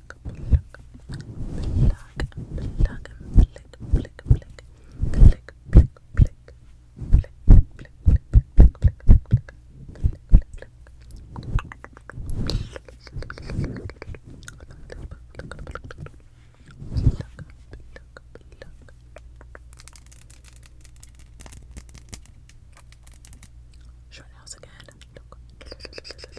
pluck, pluck, pluck, pluck, pluck, pluck, pluck, pluck, pluck, pluck, Short house again. Look.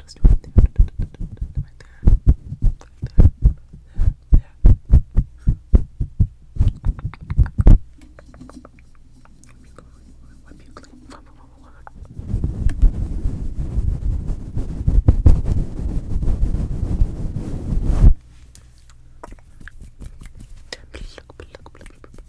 Just right there. Right there. Right there. There. there. Wipe you clean. Wipe you clean. Look, look, look, look, look, look,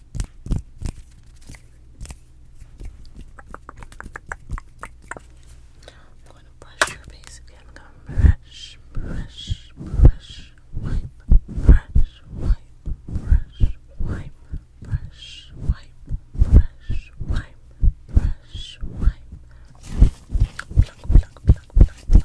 I'm going to brush your face again. I'm going to brush, brush, brush, wipe, brush, wipe, brush, wipe, brush, wipe, brush, wipe, brush, wipe. Pluck, pluck, pluck, pluck.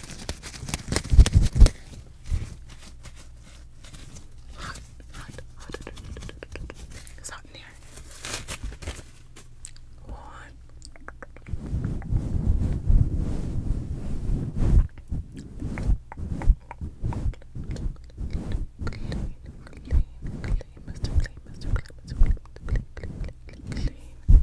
Hot, hot, hot. It's hot in here. One. Clean, clean, clean, Mr. Clean, Mr. Clean, Mr. Clean, clean, clean, clean, clean.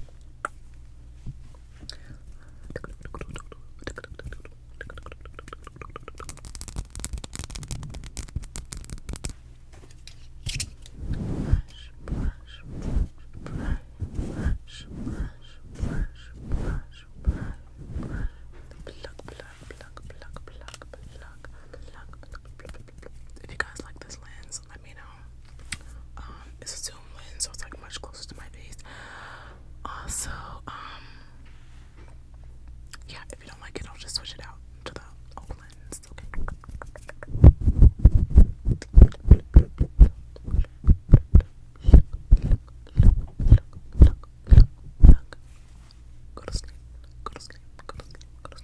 If you guys like this lens let me know. it's a zoom lens, so it's like much closer to my face. Also, yeah, if you don't like it, I'll just switch it out to the old lens. Okay. Go to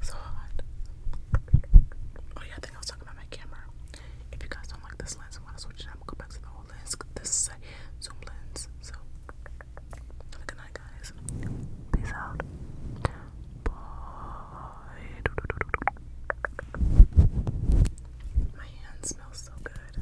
So hot. Oh yeah, I think I was talking about my camera. If you guys don't like this lens and want to switch it, I'm gonna go back to the old lens. This zoom lens. So good guys. Peace out. Bye. My hand smells so good.